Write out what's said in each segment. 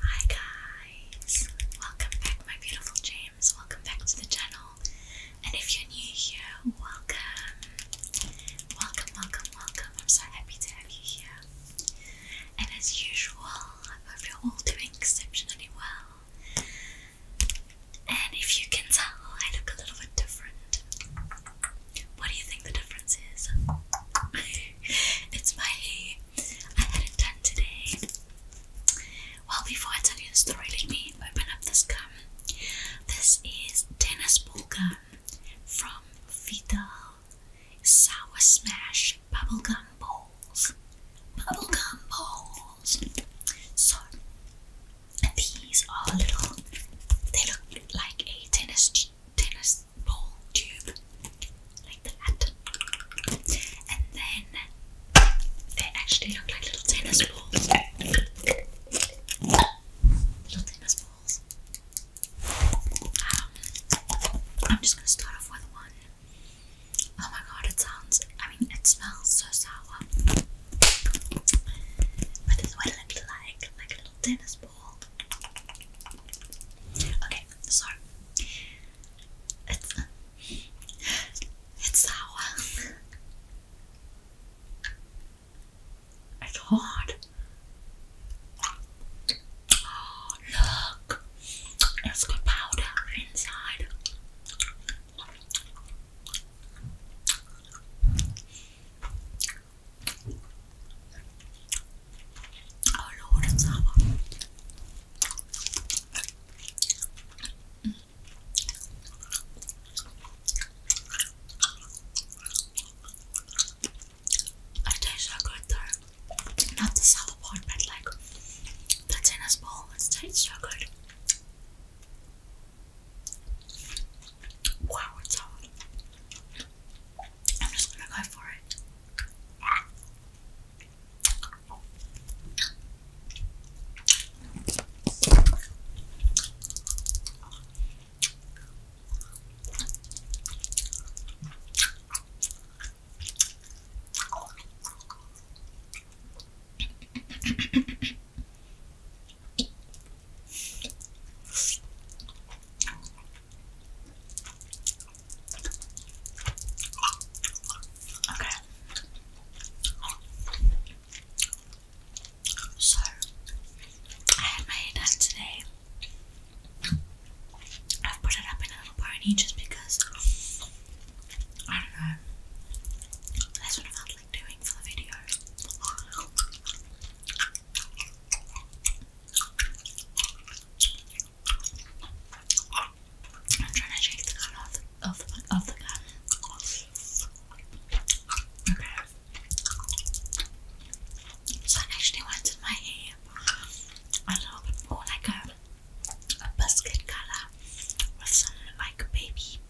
Hi guys! Welcome back my beautiful James, welcome back to the channel. And if you're new here, welcome. Welcome, welcome, welcome. I'm so happy to have you here. And as usual, I hope you're all doing exceptionally well. And if you can tell, I look a little bit different. What do you think the difference is? it's my I had it done today. Well, before I tell you the story, let me open up this gum. This is tennis ball gum from Vidal Sour Smash Bubblegum Balls. Bubblegum balls. So these are little they look like a tennis tennis ball tube like that, and then they actually look like little tennis balls. Little tennis balls. Um, I'm just gonna start off with one. Oh my god, it sounds. I mean, it smells so sour. But this is it looks like, like a little tennis ball. Okay, so it's it's sour. it's hard. Oh, look, it's powder inside. I don't know what it's about. Mm. I taste so good though. Not the sour part, but like the tennis ball. It tastes so good. Wow, it's hard. I'm just gonna go for it. Okay. So I had my hair today. I've put it up in a little pony just because I don't know. That's what I felt like doing for the video. I'm trying to change the color of the, of the, of the gun. Okay. So I actually wanted my hair a little bit more oh, like a, a biscuit color with some like baby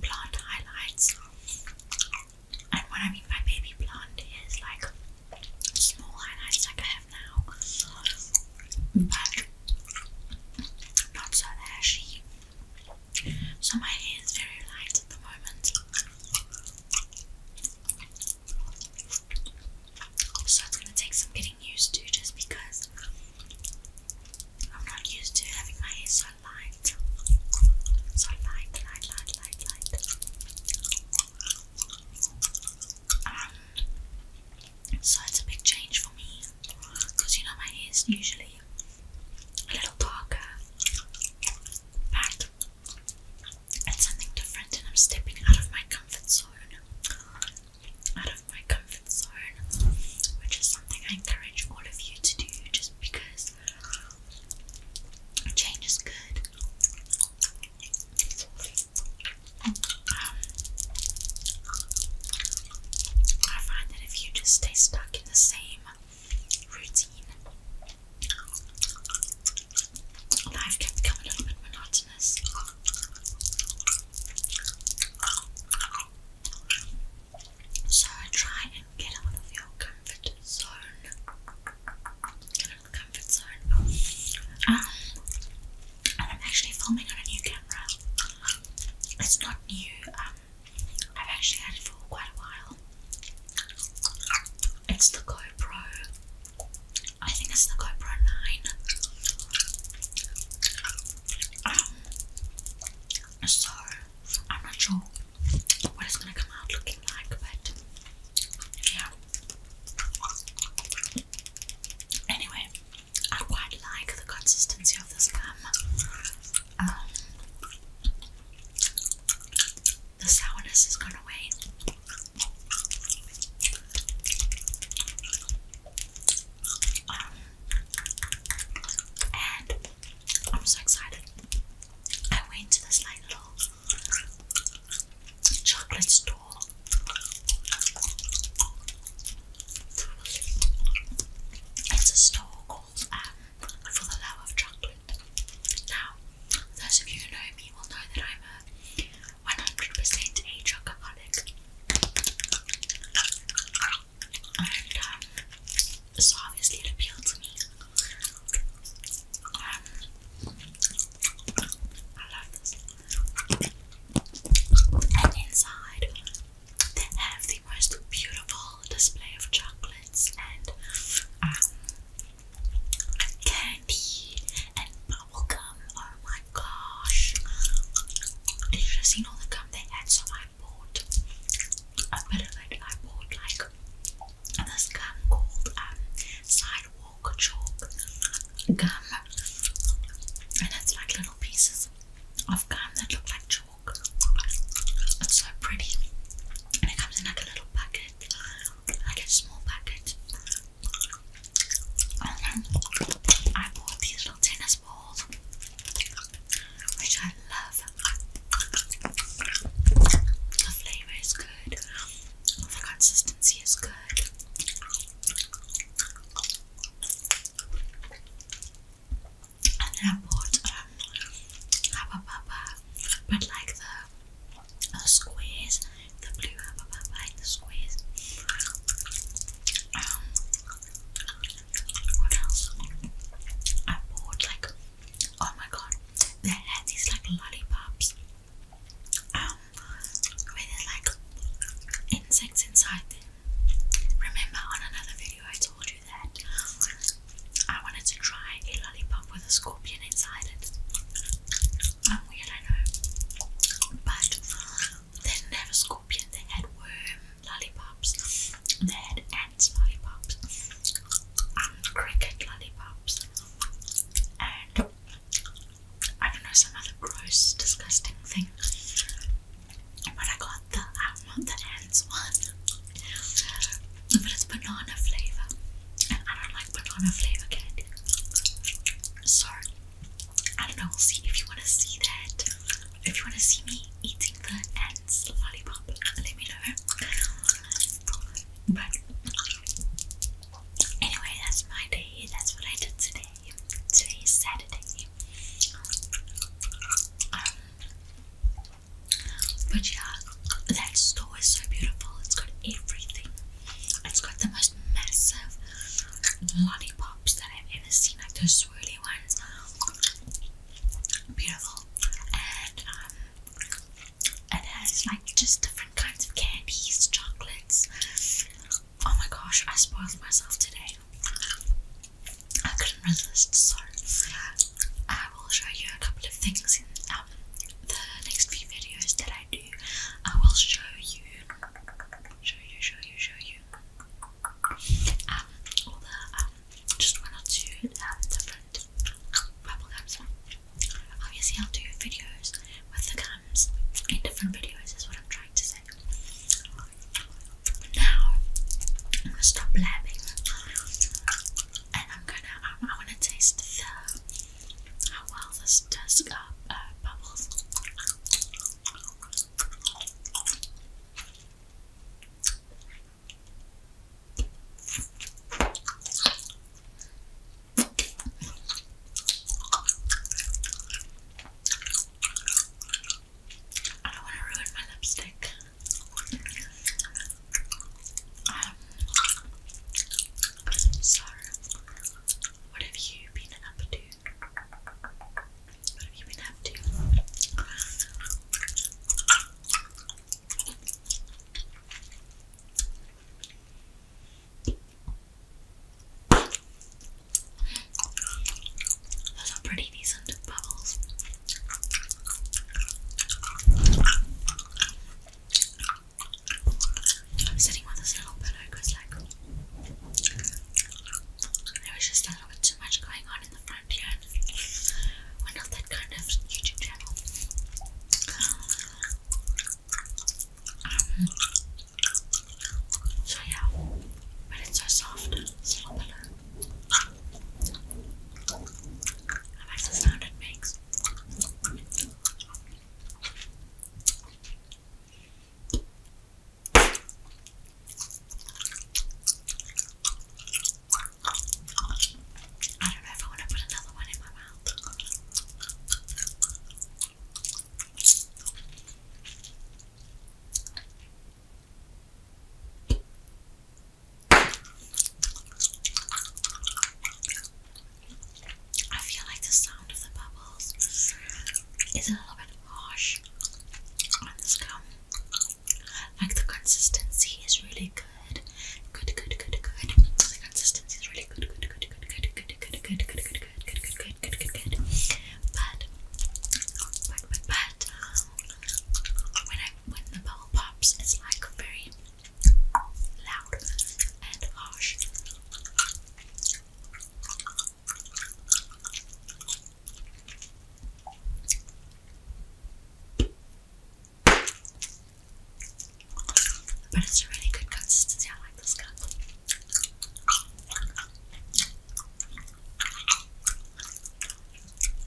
blonde highlights. And what I mean by baby blonde is like small highlights like I have now, but not so ashy. So my hair is very light at the moment. So it's gonna take some getting used to just because I'm not used to having my hair so light. So light, light, light, light, light so it's a big change for me because you know my hair's usually a little darker. But it's something different, and I'm stepping out of my comfort zone. Out of my comfort zone, which is something I encourage all of you to do just because change is good. I find that if you just stay stuck in the same routine, life can become a little bit monotonous. So I try and get out of your comfort zone comfort zone. Um, I'm actually filming on a new camera. It's not new. Um, I've actually had it for quite a while. It's the GoPro. I think it's the GoPro 9. Um, so I'm not sure what it's gonna come out looking like, but yeah. Anyway, I quite like the consistency of this gum. Um, the sourness has gone away. Um, and I'm so excited. I went to this like little Chocolate store. It's a store called um, For the Love of Chocolate. Now, those of you who know me will know that I'm a 100% a chocoholic. Um, so obviously it appealed to me. Um, I love this. And inside, they have the most beautiful display of chocolates and um, candy and bubble gum. Oh my gosh! You should have all the gum they had, so I bought a bit I bought like this gum called um, Sidewalk chalk, gum, and it's like little pieces of gum that look like chalk. It's so pretty, and it comes in like a little bucket, like a small bucket. Um, I bought these little tennis balls, which I love. The flavor is good. The oh, consistency is good. I bought um, Hubba but like the, the squares, the blue Hubba Bubba, like the squares. Um, what else? I bought like, oh my god, they had these like lollipops um, with like insects inside them. Remember on another video I told you that I wanted to try a lollipop with a scorpion inside it. I'm um, weird, I know. But they didn't have a scorpion, they had worm lollipops, they had ants lollipops, um, cricket lollipops, and I don't know, some other gross, disgusting thing. But I got the, I want the ends one. But it's banana flavour. And I don't like banana flavour candy. So, I don't know, see if you want to see that. If you want to see me eating the ants lollipop, let me know. But Anyway, that's my day. That's what I did today. Today is Saturday. Um, but yeah, that store is so beautiful. It's got everything. It's got the most massive lollipops that I've ever seen, like those swirly ones. Beautiful. Um, and it has like just different kinds of candies, chocolates. Oh my gosh, I spoiled myself today. I couldn't resist, so I will show you a couple of things in um, the next few videos that I do. I will show you, show you, show you, show you, um, all the, um, just one or two um, different bubblegums. Obviously, I'll do videos with the kind in different videos, is what I'm trying to say. Now, I'm gonna stop blabbing and I'm gonna, I wanna taste how well this does uh, bubbles. I don't want to ruin my lipstick. Um, so, what have you been up to? What have you been up to? Those are pretty decent bubbles. I'm sitting with this little pillow because, like, there was just a little bit too much going on in the front here. We're not that kind of YouTube channel. Um, so yeah, but it's so soft, it's not I like the sound it makes. I don't know if I want to put another one in my mouth. I feel like the sound of the bubbles is a little bit harsh on this gum. Like the consistency is really good. Good, good, good, good. The consistency is really good, good, good, good, good, good good, good, good, good, good, good, good, good, good, good, good, good. But, but, but, but, when I when the bubble pops, it's like very loud and harsh. But it's a really good consistency. I like this cup.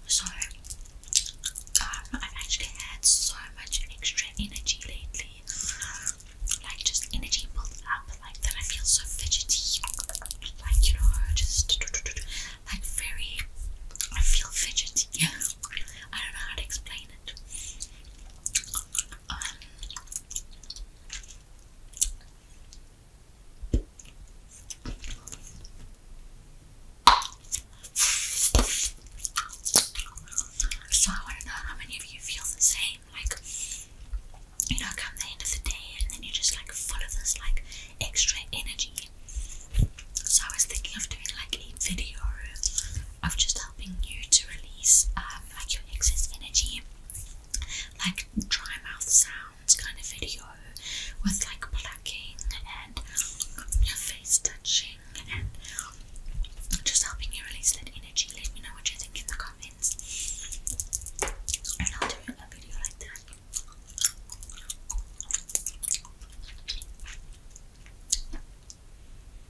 So, um, I've actually had so much extra energy lately, like just energy built up, like that I feel so fidgety, like you know, just like very, I feel fidgety. I don't know how to explain it. So I want to know how many of you feel the same, like you know, come the end of the day and then you're just like full of this like extra energy. So I was thinking of doing like a video of just helping you to release uh, like your excess energy, like dry mouth sounds kind of video with like plucking and um, your face touching and just helping you release that energy. Let me know what you think in the comments, and I'll do a video like that.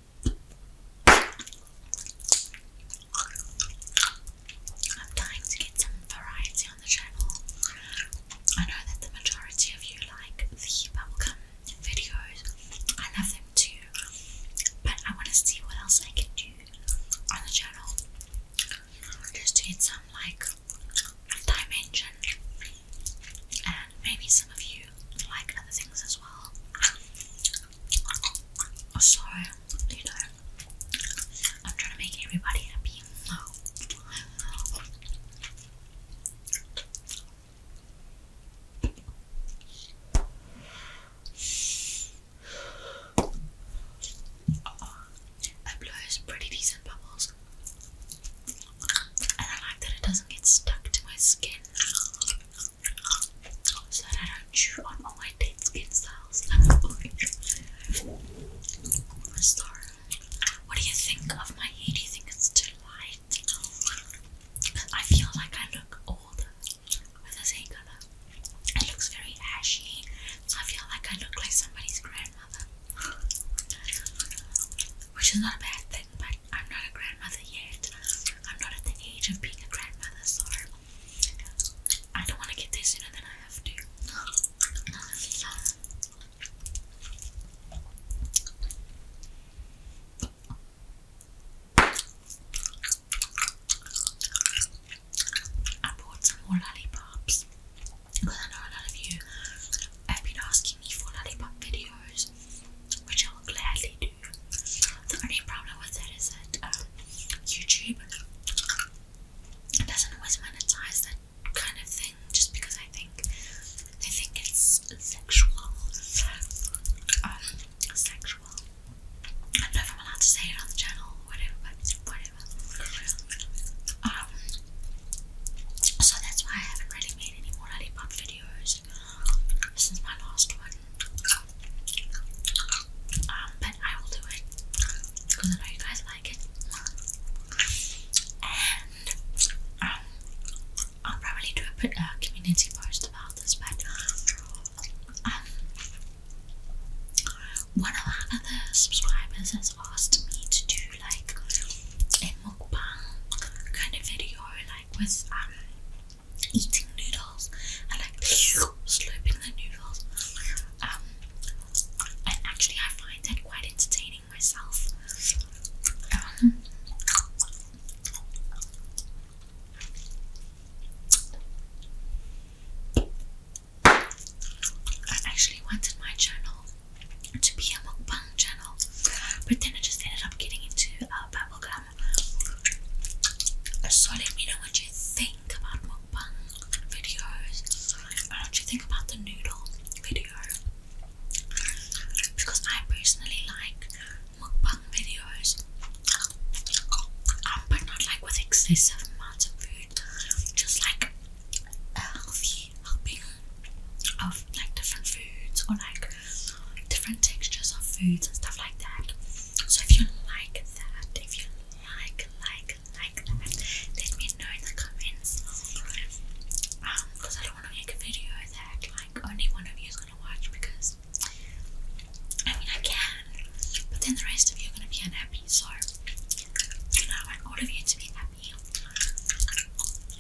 I'm dying to get some variety on the channel. I know that the majority of you like the bubblegum videos. I love them too. But I want to see what else I can do on the channel. Just to get some like dimension. And maybe some of you like other things as well. So, you know, I'm trying to make everybody happy. It blows pretty decent bubbles, and I like that it doesn't get stuck to my skin so that I don't chew on all my dead skin cells. i What do you think of my hair? Do you think it's too light? I feel like I look older with this hair color. It looks very ashy, so I feel like I look like somebody's grandmother. Which is not a bad thing, but I'm not a grandmother yet. I'm not at the age of being a grandmother, sorry. I don't want to get this sooner than I have to. I bought some more lollipops because I know a lot of you have been asking me for lollipop videos, which I will gladly do. The only problem with it is that um, YouTube doesn't always monetize that kind of thing just because I think they think it's sexual. Um, sexual. I know I'm allowed to say it on the channel whatever, whatever. Um, so that's why I haven't really made any more lollipop videos since my last one. Um, but I will do it because I know you guys like it. And um, I'll probably do a uh, community post about this, but um, one of our other subscribers has asked me to do like a mukbang kind of video, like with um eating noodles and like slurping the noodles. and um, actually, I find that quite entertaining myself. Um, I actually wanted my channel to be a mukbang channel, but then I just ended up getting into uh, bubblegum um, so let me know what you think about mukbang videos and do you think about the noodle video because I personally like mukbang videos um, but not like with excessive amounts of food just like healthy helping of like different foods or like different textures of foods and stuff like that so if you like if you like, like, like that, let me know in the comments. Um, because I don't want to make a video that like only one of you is gonna watch because I mean I can, but then the rest of you are gonna be unhappy. So you know, I want all of you to be happy.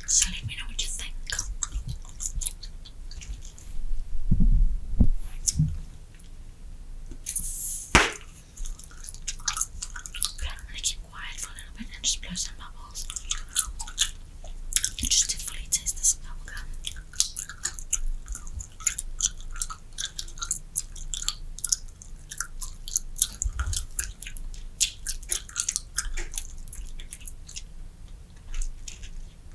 So let me know what you think. Okay, I'm gonna keep quiet for a little bit and just blow some bubbles. Just to fully taste this bubble gum.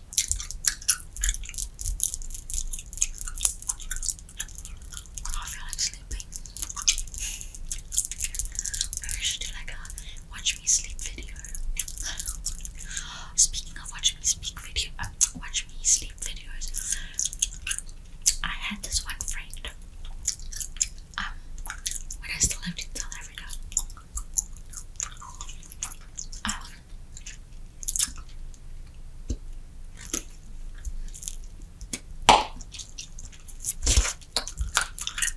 Oh, I feel like sleeping. Maybe we should do like a watch me sleep video. Speaking of watch me speak video, uh, watch me sleep videos. I had this one friend. Um, when I still lived in South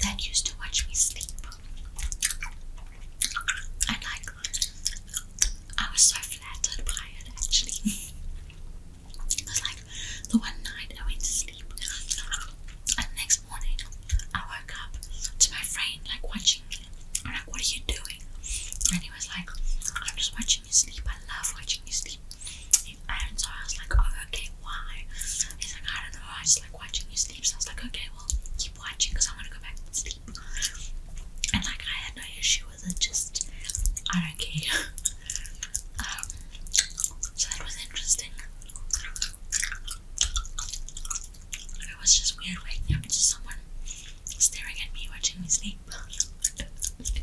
that used to watch me sleep. I like I was so flattered by it actually. it was like the one night I went to sleep and the next morning I woke up to my friend like watching I'm like, what are you doing? And he was like, I'm just watching you sleep. I love watching you sleep. And so I was like, oh, okay, why? He's like, I don't know. I just like watching you sleep. So I was like, okay, well, keep watching because I want to go back to sleep. And like, I had no issue with it. Just, I don't care. Um, so that was interesting. It was just weird waking up to someone staring at me, watching me sleep. It's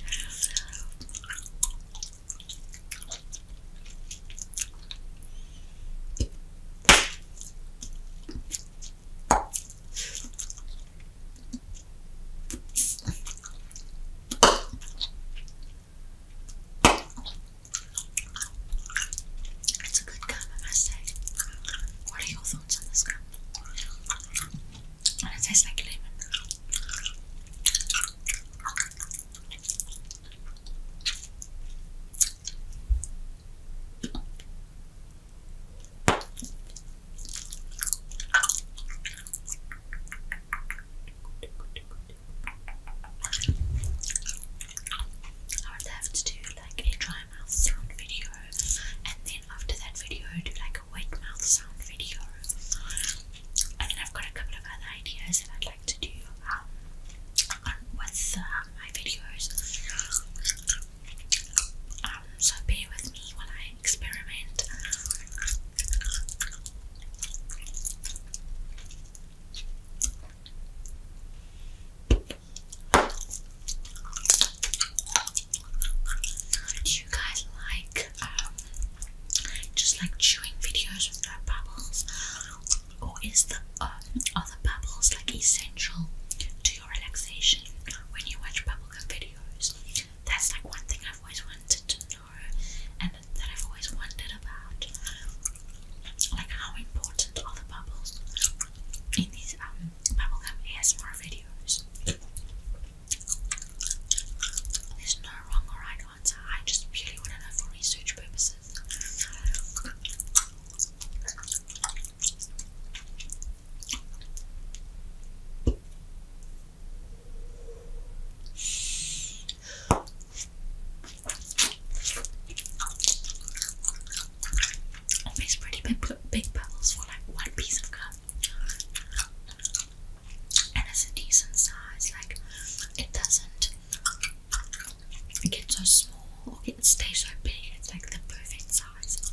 a good gum, I say. What do you it tastes like lemon. I would have to try dry mouth sound video and then after that video do like a wet mouth sound video and then I've got a couple of other ideas that I'd like to do um, with um, my videos um, so be with me while I experiment do you guys like um, just like chewing videos with bubbles, or is the uh, are the bubbles like essential to your relaxation when you watch bubblegum videos? That's like one thing I've always wanted to know, and that I've always wondered about. Like how important are the bubbles in these um, bubblegum ASMR videos. There's no wrong or right answer. I just purely want to know for research purposes. Always pretty big, big bubbles for like one piece of gum and it's a decent size. Like it doesn't get so small or get so big. It's like the perfect size.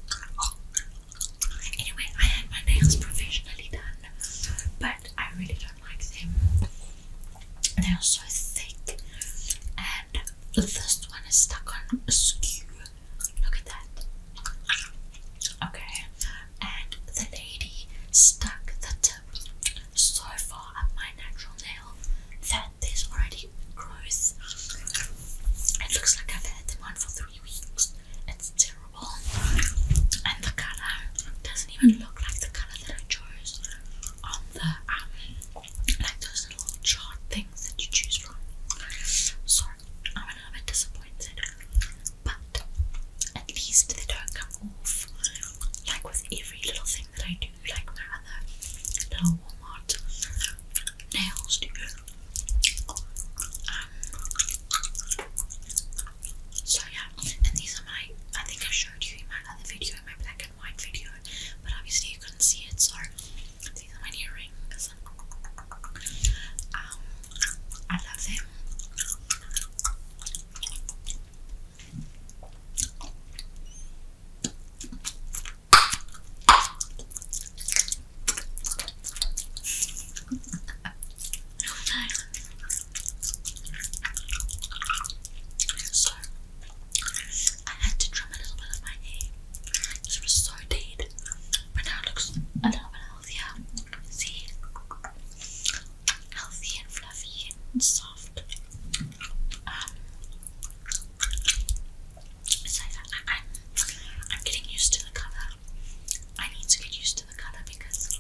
Anyway, I had my nails professionally done, but I really don't like them. They are so thick, and the first one is stuck on a askew. Look at that. Okay, and the lady stuck the tip so far up my natural nail that there's already growth. It looks like I've had them on for three weeks. It's terrible. And the colour doesn't even look like the colour that I chose on the um like those little chart things that you choose from. So I'm a little bit disappointed, but at least they don't come off like with every little thing that I do, like my other little Walmart nails do. Um, so yeah, and these are my, I think I showed you in my other video, my black and white video, but obviously you couldn't see it, so these Um, I love them. so I had to trim a little bit of my hair she was so dead, but now looks a little bit healthier. See? Healthy and fluffy and soft. Um, so I, am getting used to the colour. I need to get used to the colour because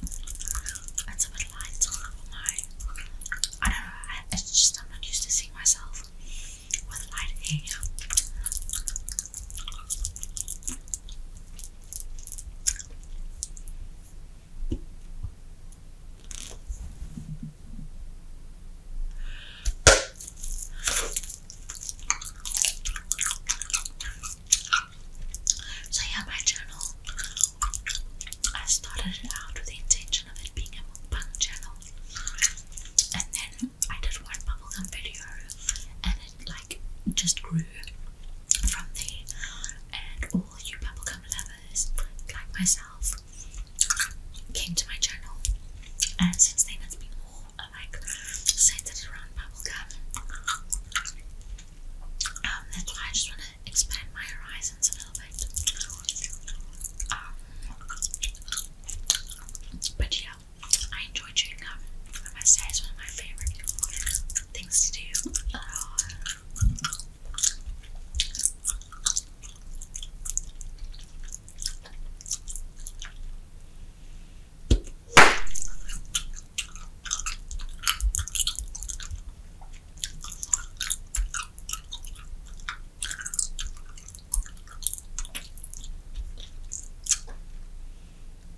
it's a bit light I don't know, it's just I'm not used to seeing myself with light hair. So, yeah, my channel, I started it out with the intention of it being a mukbang channel, and then I did one bubblegum video, and it like just grew from there, and all you bubblegum lovers like myself came to my channel, and since then it's been more like centered around bubblegum. Um, that's why I just want to expand my horizons a little bit. Um, but yeah, I enjoy chewing gum. I must say it's one of my favorite things to do.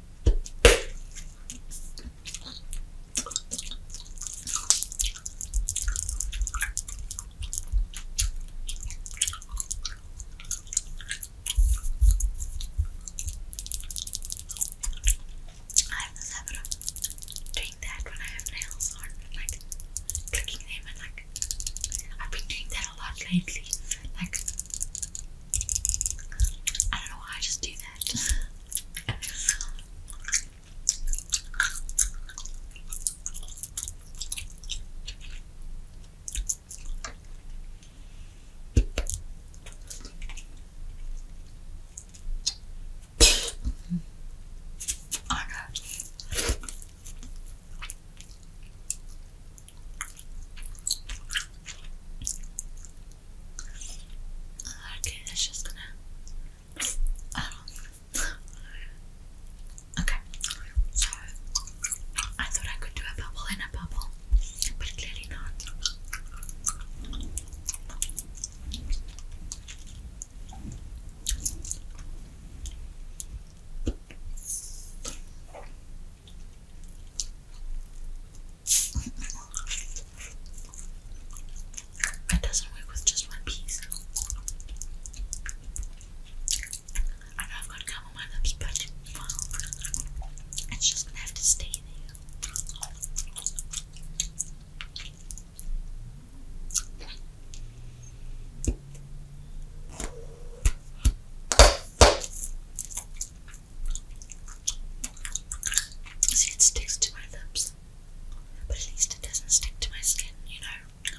I have this doing that when I have nails on, like clicking them and like I've been doing that a lot lately. Like I don't know why I just do that. Oh no. Okay, that's just gonna. okay, so I thought I could do a bubble in a bubble, but clearly not. That doesn't work with just one piece. I know I've got gum on my lips, but it's just gonna have to stay there. See, it sticks to my lips, but at least it doesn't stick to my skin, you know.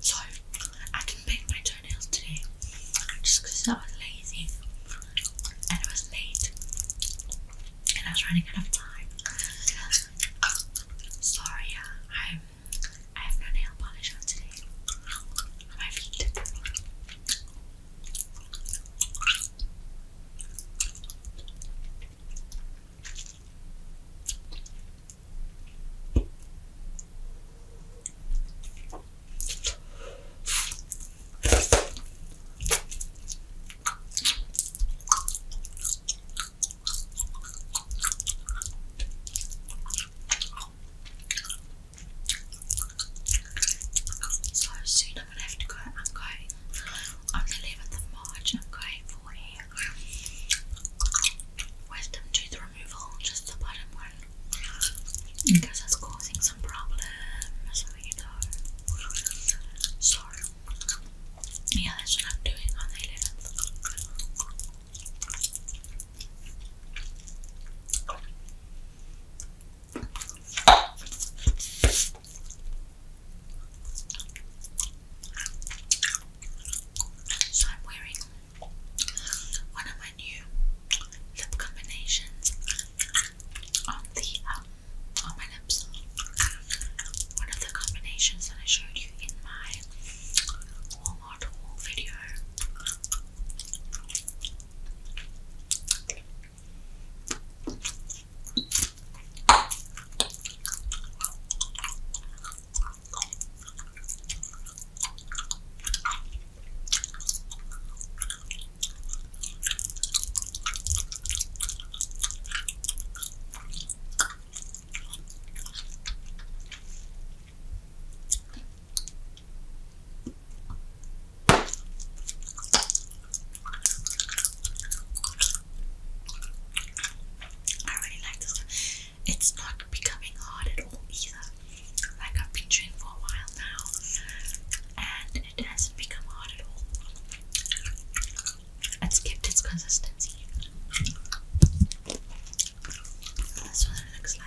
So, I didn't paint my toenails today just I was lazy and it was late and I was running out of time. Sorry, uh, I'm I have no nail polish on today. my feet. So soon I'm gonna have to go. I'm going on the 11th of March. I'm going for wisdom tooth removal, just the bottom one, because that's causing some problems. So you know. Sorry. Yeah, that's what I'm doing on the So I'm wearing one of my new lip combinations on the um, on my lips. One of the combinations that I showed you in my Walmart haul video. I really like this It's not becoming hard at all either. Like I've been chewing for a while now and it hasn't become hard at all. It's kept its consistency. That's what it looks like.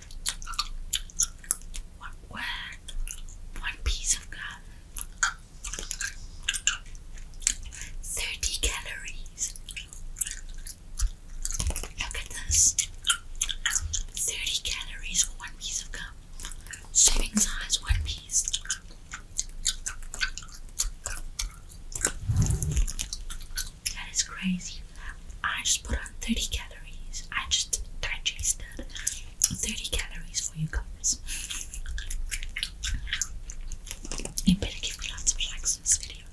One piece of gum. 30 calories. Look at this. 30 calories for one piece of gum. Serving size, one piece. That is crazy. I just put on 30 calories. I just digested 30 calories for you guys. You better give me lots of likes in this video.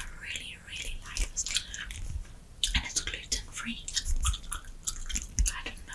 I really really, really like this. And it's gluten free. I didn't know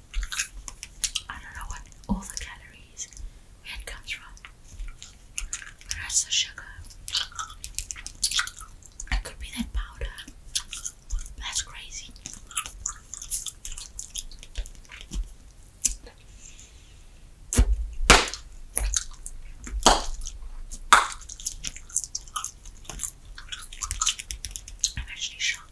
I don't know what all the calories it comes from. But that's the sugar. It could be that powder. That's crazy. I'm actually shocked.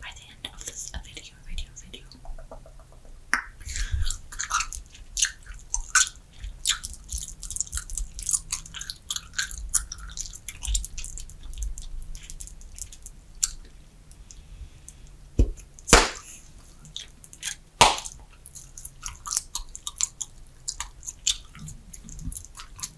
by the end of this video, video, video.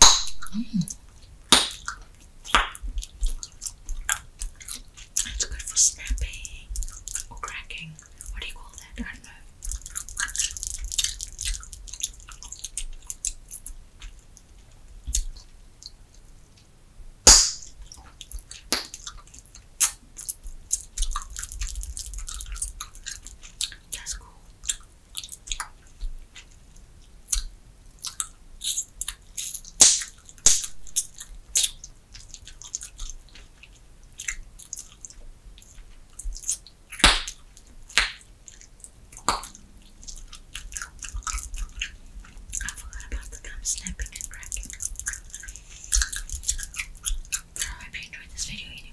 Mm. good for snapping or cracking. What do you call that? I don't know. That's cool. I forgot about the gum snapping and cracking. I hope you enjoyed this video anyway.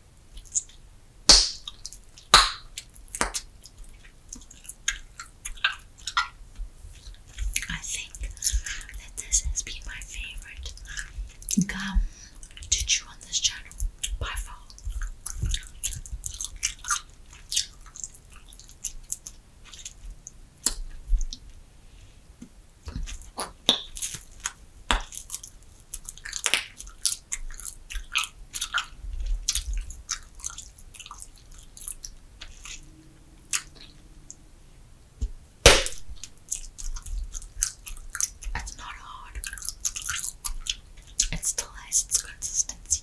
I think that this has been my favorite gum to chew on this channel by far. It's not hard. It still has its consistency.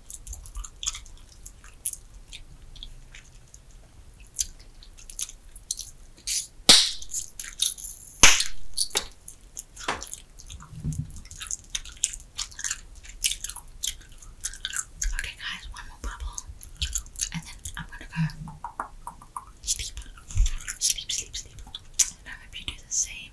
Okay, guys, one more bubble, and then I'm gonna go sleep, sleep, sleep, sleep. And I hope you do the same.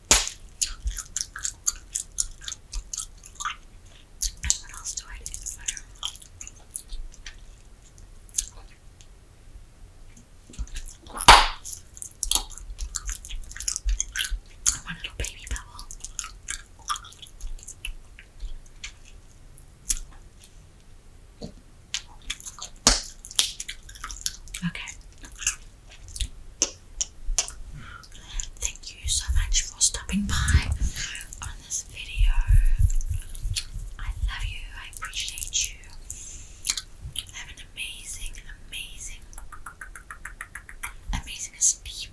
And what One little baby bubble. Okay. Thank you so much for stopping by on this video. I love you, I appreciate you. Have an amazing, amazing, amazing sleep,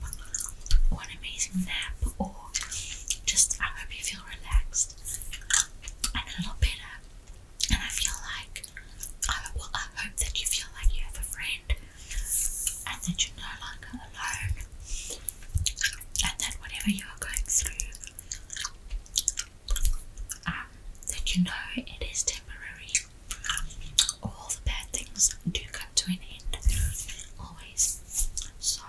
or an amazing nap, or just I hope you feel relaxed and a lot better. And I feel like, I hope that you feel like you have a friend and that you're no longer alone, and that whatever you are going through, um, that you know it is temporary. All the bad things do come to an end, always. So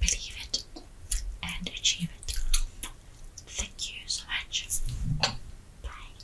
believe it and achieve it. Thank you so much. Bye.